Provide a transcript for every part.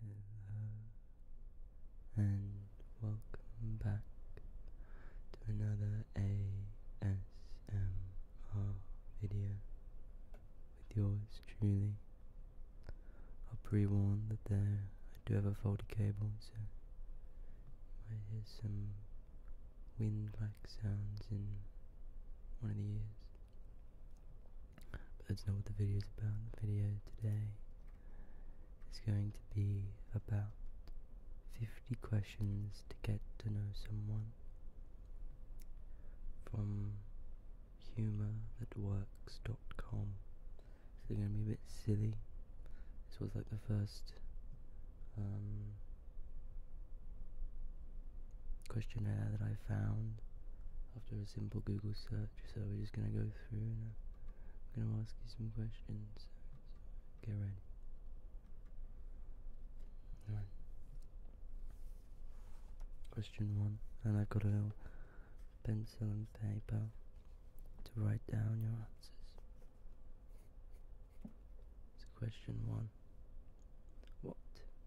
Hello and welcome back to another ASMR video with yours truly. I'll pre-warn that there I do have a faulty cable so you might hear some wind like sounds in one of the ears. But that's not what the video is about. The video today is going to be about 50 questions to get to know someone from humorthatworks.com. So they're going to be a bit silly. This was like the first um, questionnaire that I found after a simple Google search. So we're just gonna go through and I'm uh, gonna ask you some questions. get ready. Alright. Question one, and I've got a little pencil and paper to write down your answers. So question one. What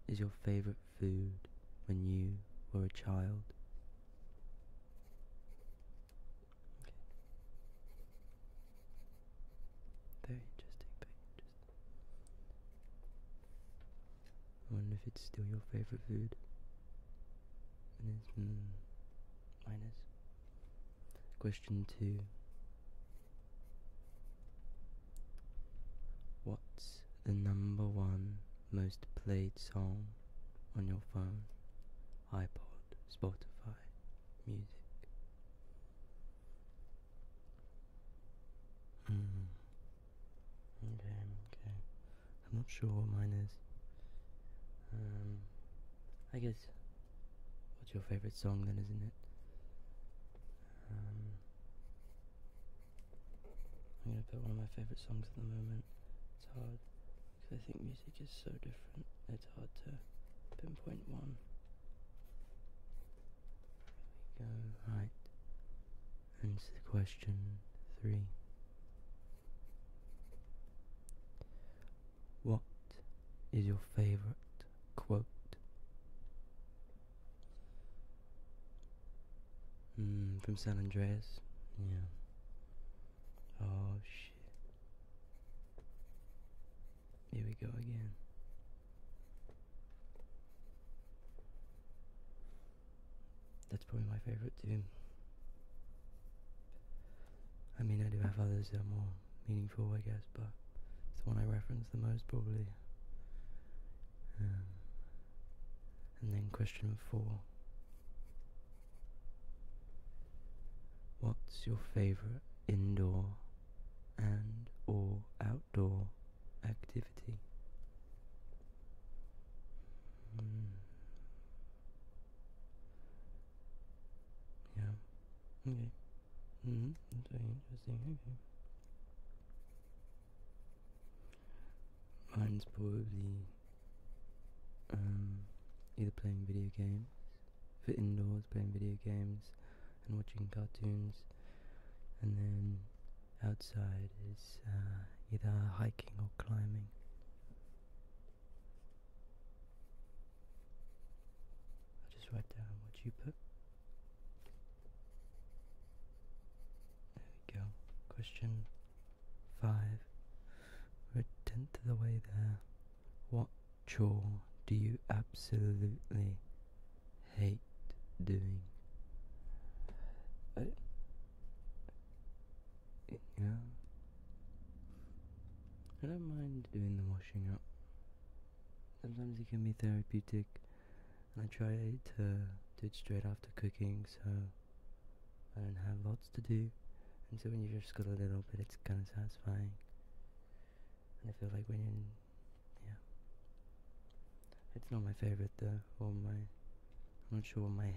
is your favorite? food when you were a child? Very interesting, very wonder if it's still your favorite food. And it's mm, minus. Question two. What's the number one most played song on your phone, iPod, Spotify, music. Mm. Okay, okay. I'm not sure what mine is. Um, I guess. What's your favorite song then, isn't it? Um, I'm gonna put one of my favourite songs at the moment. It's hard because I think music is so different. It's hard to pinpoint one. Here we go. Right. Answer the question three. What is your favourite quote? Mm, from San Andreas? Yeah. Oh shit. Here we go again. That's probably my favorite tune. I mean, I do have others that are more meaningful, I guess, but it's the one I reference the most probably. Um, and then question four. What's your favorite indoor and or outdoor activity? Hmm. Yeah. Okay. -hmm. interesting. Mine's probably um, either playing video games, for indoors playing video games and watching cartoons, and then outside is uh, either hiking or climbing. I'll just write down what you put. There we go. Question five. We're a tenth of the way there. What chore do you absolutely hate doing? I, I don't mind doing the washing up. Sometimes it can be therapeutic and I try to do it straight after cooking so I don't have lots to do and so when you have just got a little bit it's kind of satisfying and I feel like when yeah it's not my favorite though or my I'm not sure what my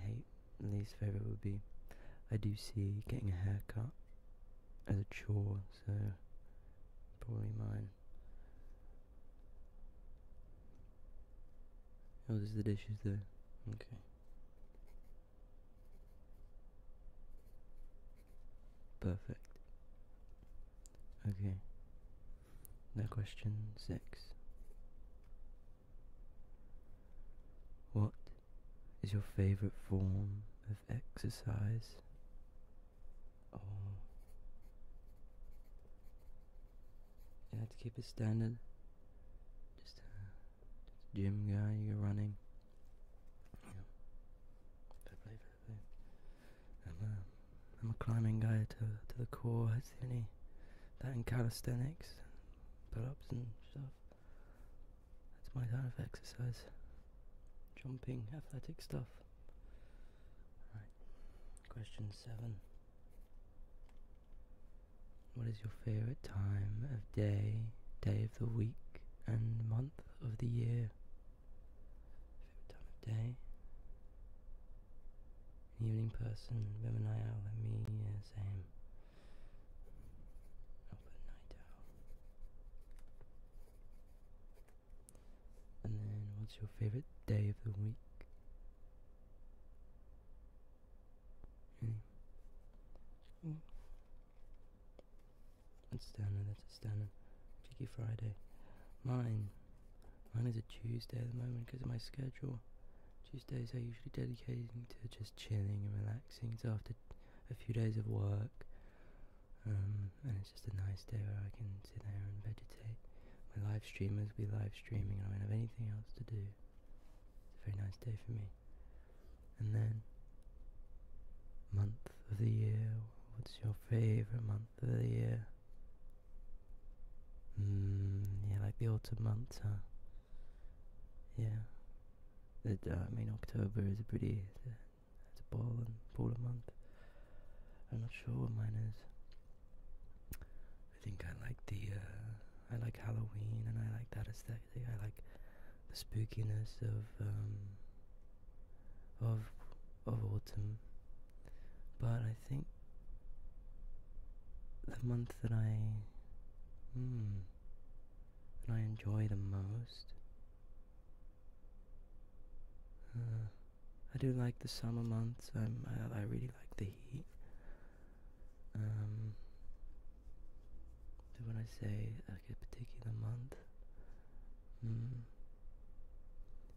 least favorite would be I do see getting a haircut as a chore so probably mine Oh, there's the dishes there. Okay. Perfect. Okay. Now question six. What is your favorite form of exercise? Oh. You have to keep it standard. Just a, uh, just gym guy, you're running. I'm a, uh, I'm a climbing guy to to the core. It's the only that and calisthenics, pull-ups and stuff. That's my kind of exercise. Jumping, athletic stuff. Right. Question seven. What is your favorite time of day, day of the week, and month of the year? Favorite time of day? evening person, women I out like me, same. i night owl. And then, what's your favorite day of the week? Hmm. That's standard. that's a stunning. Friday. Mine. Mine is a Tuesday at the moment because of my schedule. Tuesdays I usually dedicate to just chilling and relaxing. It's after a few days of work. Um, and it's just a nice day where I can sit there and vegetate. My live streamers, will be live streaming, and I will not have anything else to do. It's a very nice day for me. And then, month of the year, what's your favourite month of the year? Mmm, yeah, like the autumn months, huh? Yeah. Uh, I mean, October is a pretty, uh, it's a, ball and ball month. I'm not sure what mine is. I think I like the uh, I like Halloween and I like that aesthetic. I like the spookiness of um, of of autumn. But I think the month that I hmm, that I enjoy the most. Uh, I do like the summer months. Um, I, I really like the heat. Um, so when I say a particular month, mm,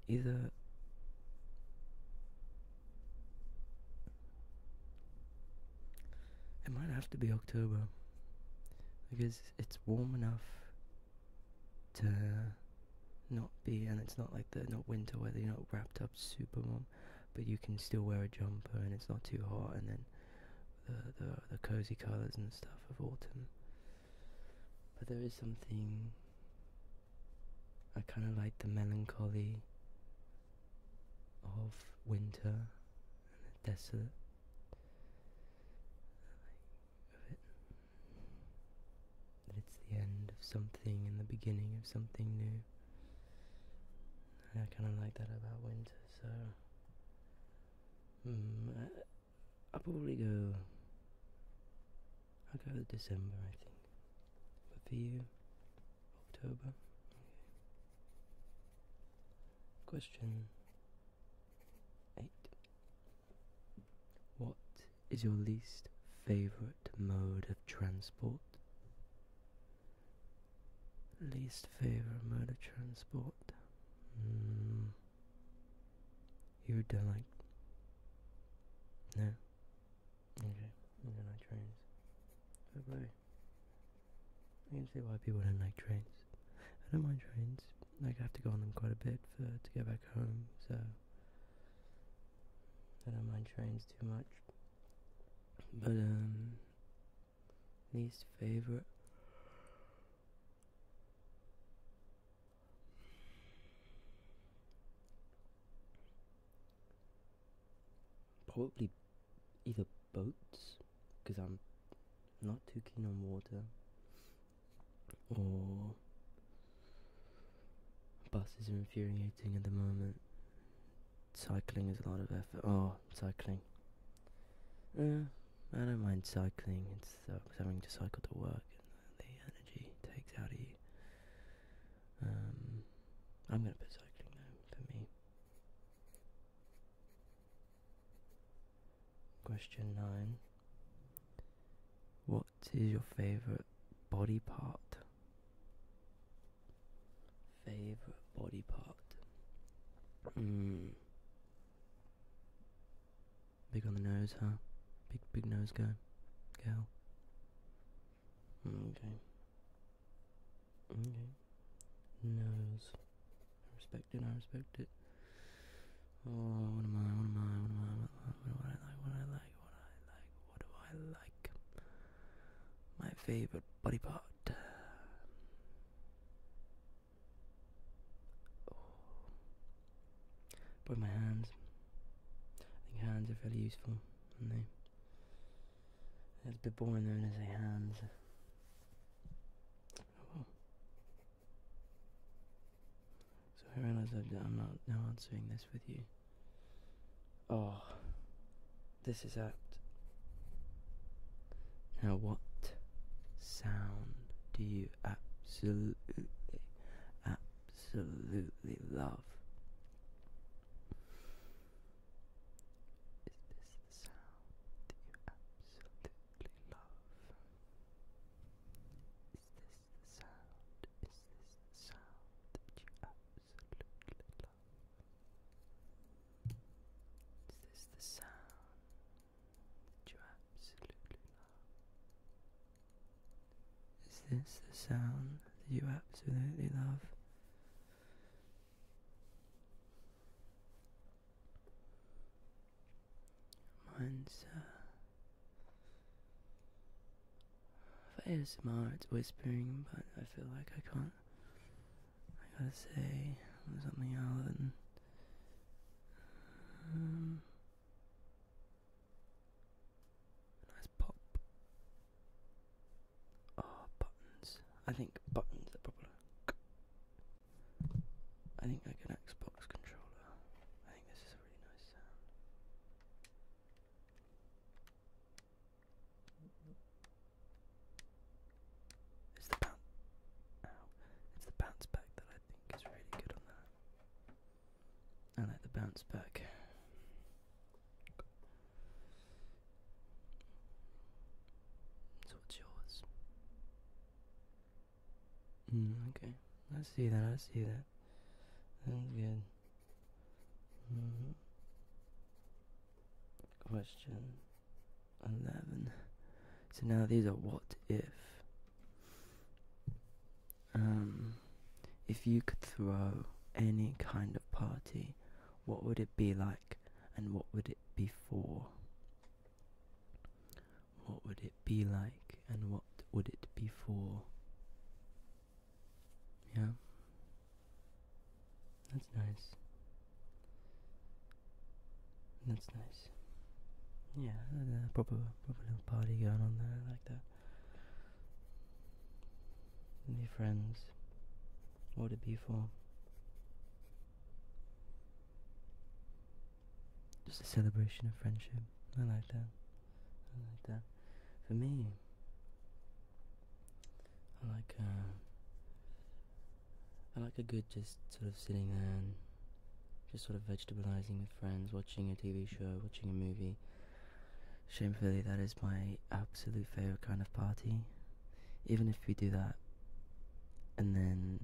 either it might have to be October because it's warm enough to not be and it's not like the not winter weather you're not wrapped up super warm but you can still wear a jumper and it's not too hot and then the the, the cozy colors and stuff of autumn but there is something i kind of like the melancholy of winter and the desolate of it that it's the end of something and the beginning of something new. I kind of like that about winter, so mm, I, will probably go. I'll go with December, I think. But for you, October. Question eight. What is your least favorite mode of transport? Least favorite mode of transport? Hmm. You don't like. No? Okay, you don't like trains. Fair I can see why people don't like trains. I don't mind trains. Like, I have to go on them quite a bit for to get back home, so I don't mind trains too much. But um least favorite probably either boats because I'm not too keen on water or Buses are infuriating at the moment. Cycling is a lot of effort. Oh, cycling. Uh, I don't mind cycling. It's uh, sucks having to cycle to work and the energy takes out of you. Um, I'm gonna put cycling though for me. Question nine. What is your favorite body part? Favorite body part? Mm. Big on the nose, huh? Big, big nose guy, girl. Okay. Okay. Nose. I respect it. I respect it. Oh, what am I? What am I? What am I? what I like? What I like? What I like? What do I like? My favorite body part. Oh. Probably my hands. I think hands are fairly useful, aren't they? It's a bit boring though when I say hands. Oh. So I realize I'm not answering this with you. Oh, this is apt. Now, what sound do you absolutely, absolutely love? Is this the sound that you absolutely love? is this the sound that you absolutely love? Is this the sound that you absolutely love? Is this the sound that you absolutely love? Mine's uh, for ASMR, it's whispering, but I feel like I can't. I gotta say something other than. Um, nice pop. Oh, buttons. I think buttons are popular. I think I can Xbox controller. I think this is a really nice sound. It's the bounce. It's the bounce back that I think is really good on that. I like the bounce back. So what's yours? Hmm, okay. I see that. I see that. That's good. Mm-hmm. Question 11. So now these are what if. Um, if you could throw any kind of party, what would it be like and what would it be for? What would it be like and what would it be for? Yeah. That's nice. That's nice. Yeah, uh, proper, proper little party going on there I like that. And your friends. What would it be for? Just a celebration of friendship. I like that like that. For me, I like uh, I like a good just sort of sitting there and just sort of vegetabilizing with friends, watching a TV show, watching a movie. Shamefully, that is my absolute favorite kind of party. Even if we do that, and then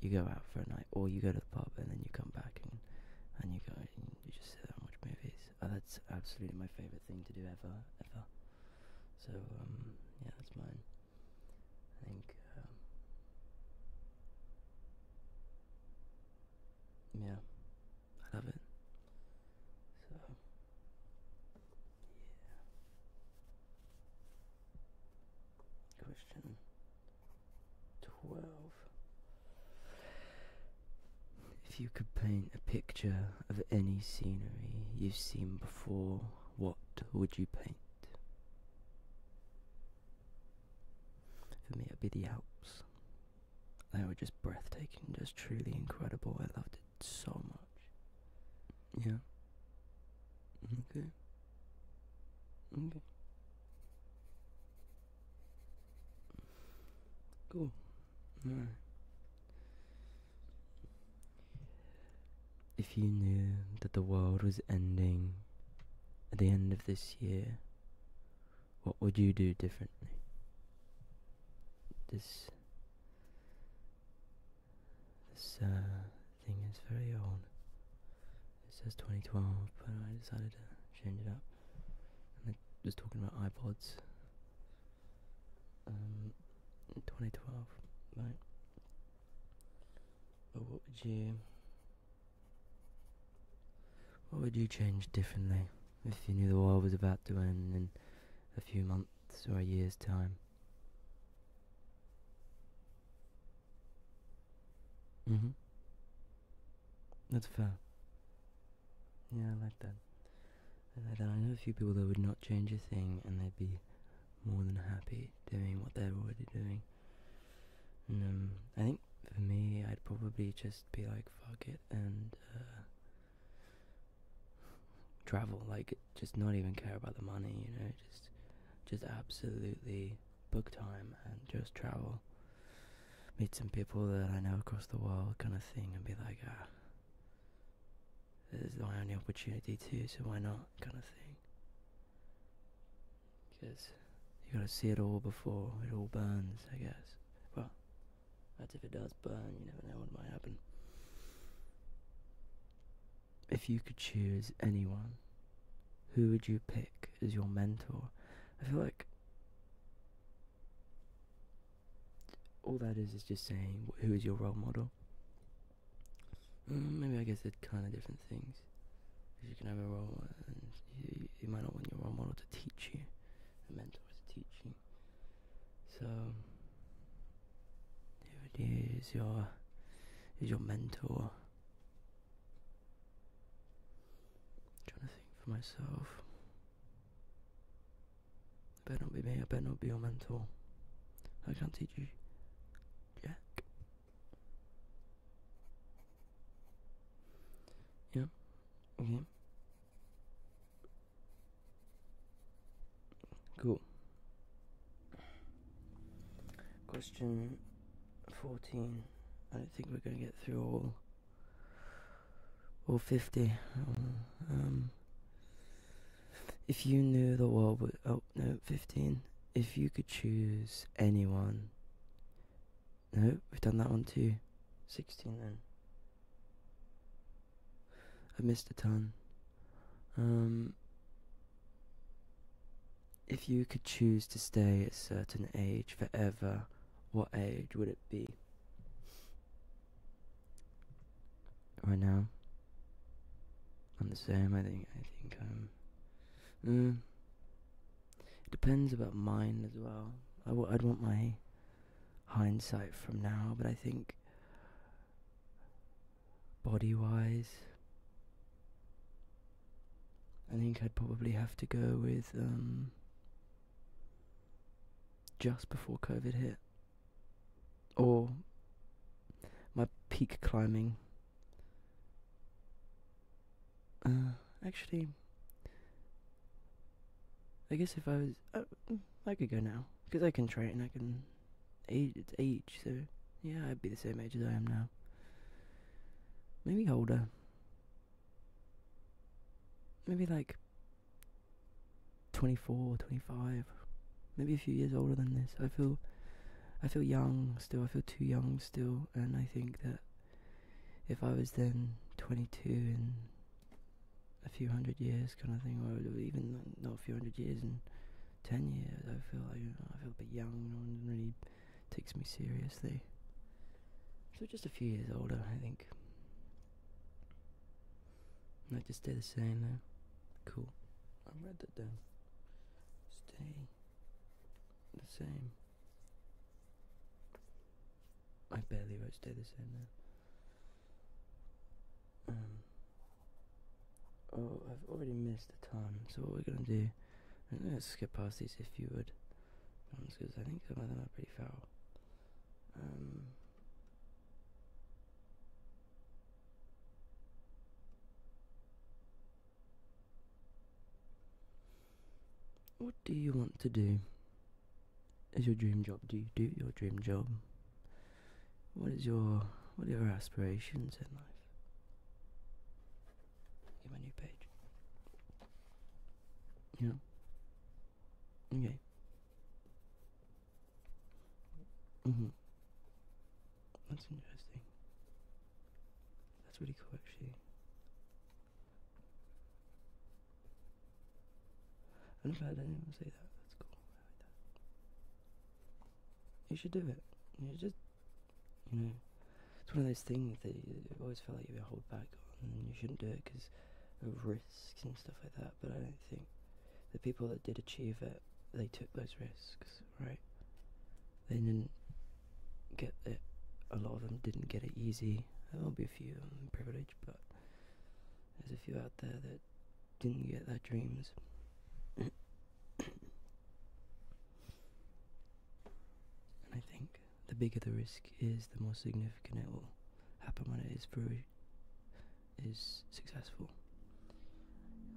you go out for a night, or you go to the pub and then you come back and and you go you just sit and watch movies. Oh, that's absolutely my favourite thing to do ever, ever. So, um, yeah, that's mine. I think, um, yeah, I love it. So, yeah. Question 12. If you could paint a picture of any scenery you've seen before, what would you paint? For me, it'd be the Alps. They were just breathtaking, just truly incredible. I loved it so much. Yeah. Okay. Okay. Cool. If you knew that the world was ending at the end of this year, what would you do differently? This this uh, thing is very old. It says 2012, but I decided to change it up. And was talking about iPods. Um, 2012, But what would you... What would you change differently if you knew the world was about to end in a few months or a year's time? Mm-hmm. That's fair. Yeah, I like that. I like I know a few people that would not change a thing and they'd be more than happy doing what they're already doing. And um, I think for me, I'd probably just be like, fuck it, and uh, travel. Like, just not even care about the money, you know, just, just absolutely book time and just travel, meet some people that I know across the world, kind of thing, and be like, ah, this is my only opportunity too, so why not, kind of thing. Because you gotta see it all before it all burns, I guess. Well, that's if it does burn, you never know what might happen. If you could choose anyone, who would you pick as your mentor I feel like all that is is just saying who is your role model. Mm, maybe I guess they kind of different things. you can have a role and you, might not want your role model to teach you, a mentor to teach you. So, who is your is your mentor? i trying to think for myself. I better not be me, I better not be your mentor. I can't teach you Jack. Yeah. Okay. Cool. Question fourteen. I don't think we're gonna get through all or 50. Um, if you knew the world would. Oh, no, 15. If you could choose anyone. No, we've done that one too. 16 then. I missed a ton. Um, if you could choose to stay at a certain age forever, what age would it be? Right now, I'm the same. I think. I think I'm. Um, mm, it depends about mine as well. i w- I'd want my hindsight from now, but I think body wise, I think I'd probably have to go with um, just before COVID hit, or my peak climbing. Uh, actually, I guess if I was, uh, I could go now because I can train. and I can age. age, so yeah, I'd be the same age as I am now. Maybe older maybe like 24, 25, maybe a few years older than this. I feel I feel young still. I feel too young still, and I think that if I was then 22 and a few hundred years, kind of thing, I or even not a few hundred years and 10 years, I feel like I feel a bit young. I don't really takes me seriously. So just a few years older, I think. And I just stay the same though. Cool. I read that down. Stay the same. I barely wrote stay the same now. Um, oh, I've already missed a time. so what we're gonna do, Let's skip past these if you would because I think some of them are pretty foul. Um, what do you want to do? Is your dream job? Do you do your dream job? What is your what are your aspirations in life? Get my new page. You Okay. hmm That's interesting. That's really cool actually. I'm glad I say that. That's cool. You should do it. You just you know, it's one of those things that you always felt like you were hold back on, and you shouldn't do it because of risks and stuff like that. But I don't think the people that did achieve it, they took those risks, right? They didn't get it. A lot of them didn't get it easy. There will be a few privileged, but there's a few out there that didn't get their dreams. and I think the bigger the risk is, the more significant it will happen when it is through is successful.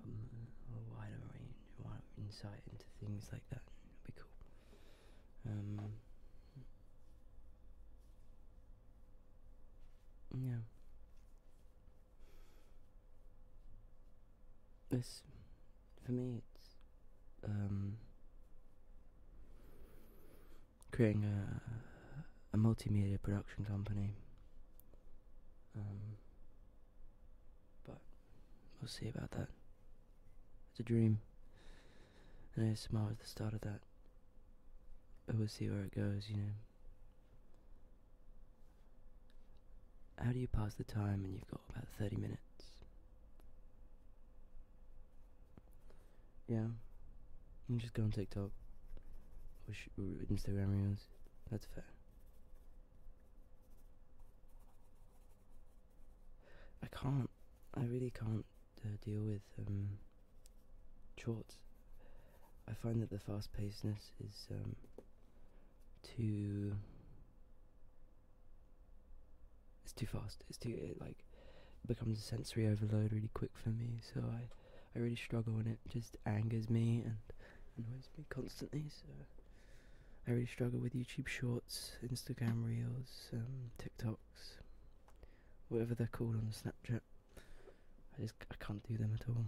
Um, a wider range, a insight into things like that would be cool. Um, yeah. This, for me it's um creating a a multimedia production company um but we'll see about that it's a dream and I ASMR at the start of that but we'll see where it goes you know how do you pass the time when you've got about 30 minutes yeah. You just go on TikTok or, Instagram reels. That's fair. I can't. I really can't uh, deal with um, shorts. I find that the fast pacedness is um, too it's too fast. It's too it like becomes a sensory overload really quick for me. So I I really struggle and it just angers me and annoys me constantly. So I really struggle with YouTube Shorts, Instagram Reels, um, TikToks, whatever they're called on Snapchat. I just I can't do them at all.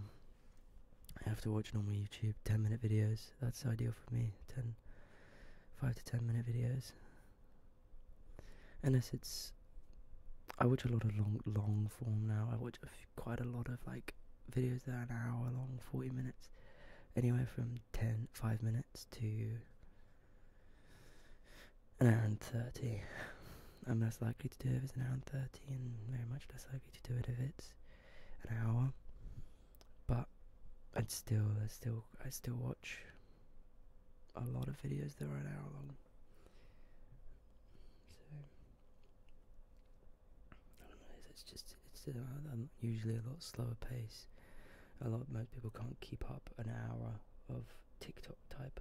I have to watch normal YouTube, 10 minute videos. That's ideal for me. 10, five to ten minute videos. Unless it's, I watch a lot of long long form now. I watch quite a lot of like videos that are an hour long, forty minutes, anywhere from ten five minutes to an hour and thirty. I'm less likely to do it if it's an hour and thirty, and very much less likely to do it if it's an hour but and still there's still I still watch a lot of videos that are an hour long so it's just it's uh, usually a lot slower pace a lot most people can't keep up an hour of TikTok type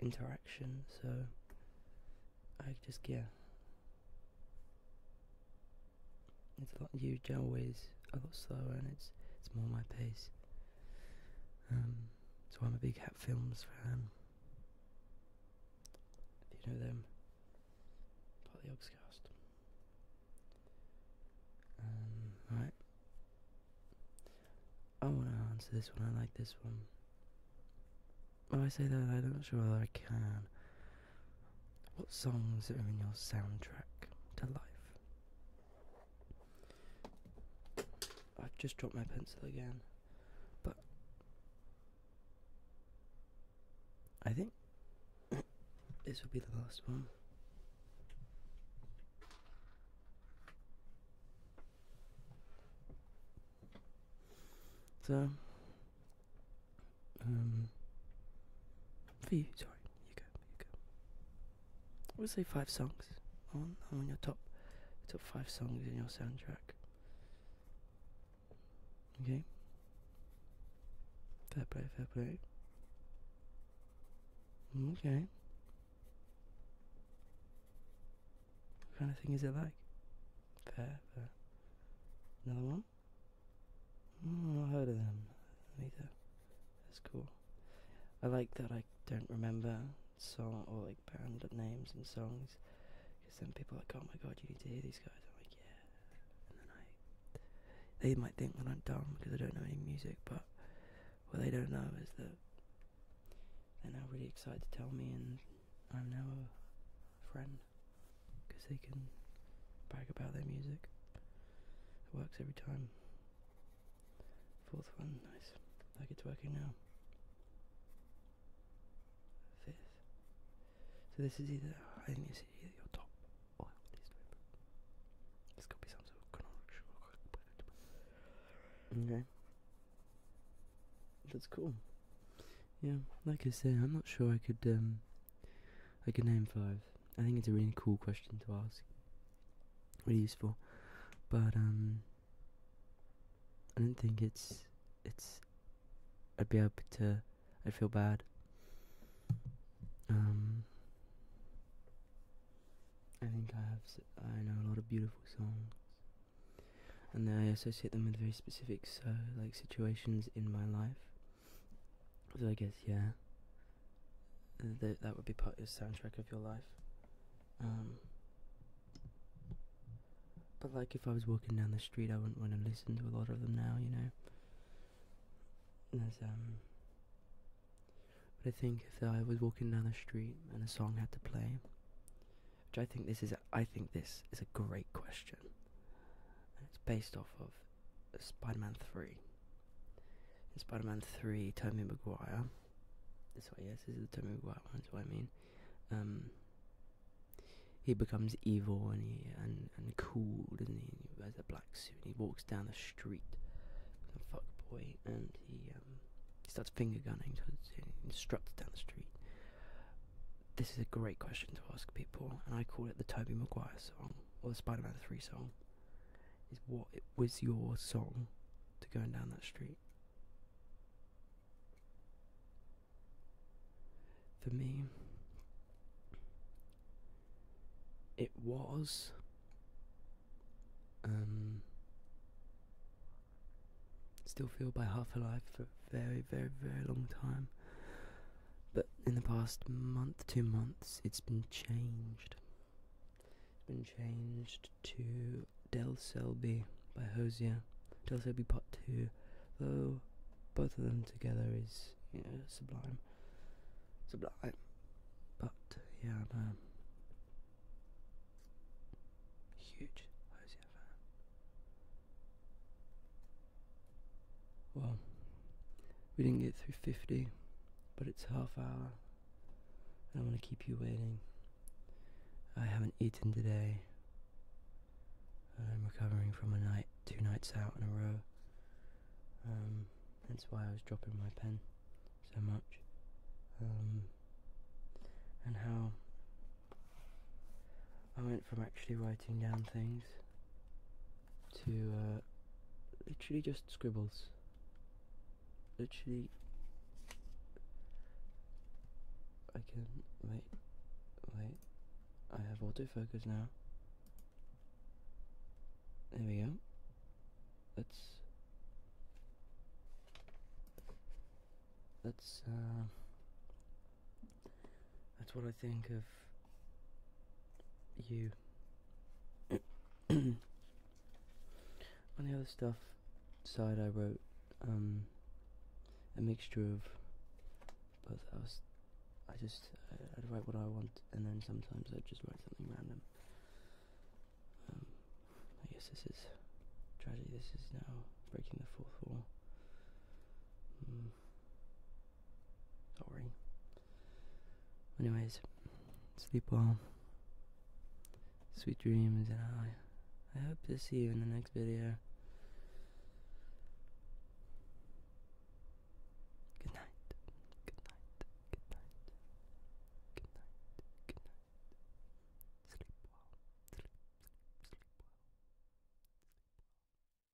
interaction so I just yeah it's a lot. You always a lot slower, and it's it's more my pace. Um, so I'm a big Hat Films fan. Do you know them, part of um, right. I want to answer this one. I like this one. When I say that, i do not sure whether I can. What songs are in your soundtrack to life? I've just dropped my pencil again, but I think this will be the last one. So, um, for you, sorry, you go, you go. We'll say five songs. on on your top, top five songs in your soundtrack. Okay. Fair play, fair play. Okay. What kind of thing is it like? Fair, fair. Another one? Hmm, i heard of them either. That's cool. I like that I don't remember song or like band names and songs because then people are like, oh my god, you need to hear these guys. I'm like, yeah. And then I. They might think that I'm dumb because I don't know any music, but what they don't know is that they're now really excited to tell me and I'm now a friend because they can brag about their music. It works every time. Fourth one, nice. Like it's working now. Fifth. So this is either I think this is either your top or least favorite. It's be some Okay. That's cool. Yeah, like I say, I'm not sure I could um, I could name five. I think it's a really cool question to ask. Really useful, but um, I don't think it's it's. I'd be able to. I would feel bad. Um, I think I have. I know a lot of beautiful songs, and I associate them with very specific so like situations in my life. So I guess yeah, that that would be part of the soundtrack of your life. Um, but like if I was walking down the street, I wouldn't want to listen to a lot of them now, you know. There's um. But I think if I was walking down the street and a song had to play, which I think this is I think this is a great question. it's based off of Spider Man 3. In Spider Man 3, Tobey Maguire. This way, yes, this is the Tobey Maguire one, that's what I mean. Um, he becomes evil and he and, and cool, doesn't he? And he wears a black suit and he walks down the street with a fuck boy and he um, starts finger gunning towards instructs down the street. This is a great question to ask people, and I call it the Toby Maguire song or the Spider-Man Three song, is what it was your song to going down that street. For me, it was. Um, still feel by half alive for a very, very, very long time but in the past month, two months, it's been changed. It's been changed to Del Selby by Hosier. Del Selby Part 2, though both of them together is, you know, sublime. Sublime. But, yeah, I'm a huge Hosier fan. Well, we didn't get through 50, but it's half hour, and I want to keep you waiting. I haven't eaten today, I'm recovering from a night, two nights out in a row. Um, that's why I was dropping my pen so much. Um, and how I went from actually writing down things to uh, literally just scribbles. Literally, I can wait, wait. I have autofocus now. There we go. Let's that's uh, that's what I think of you on the other stuff side I wrote um, a mixture of but I just I, write what I want and then sometimes i just write something random um, I guess this is tragedy this is now breaking the fourth wall hmm do Anyways, sleep well. Sweet dreams, and I, I hope to see you in the next video. Good night. Good night. Good night. Good night. Good night. Sleep well. Sleep, sleep, Sleep well.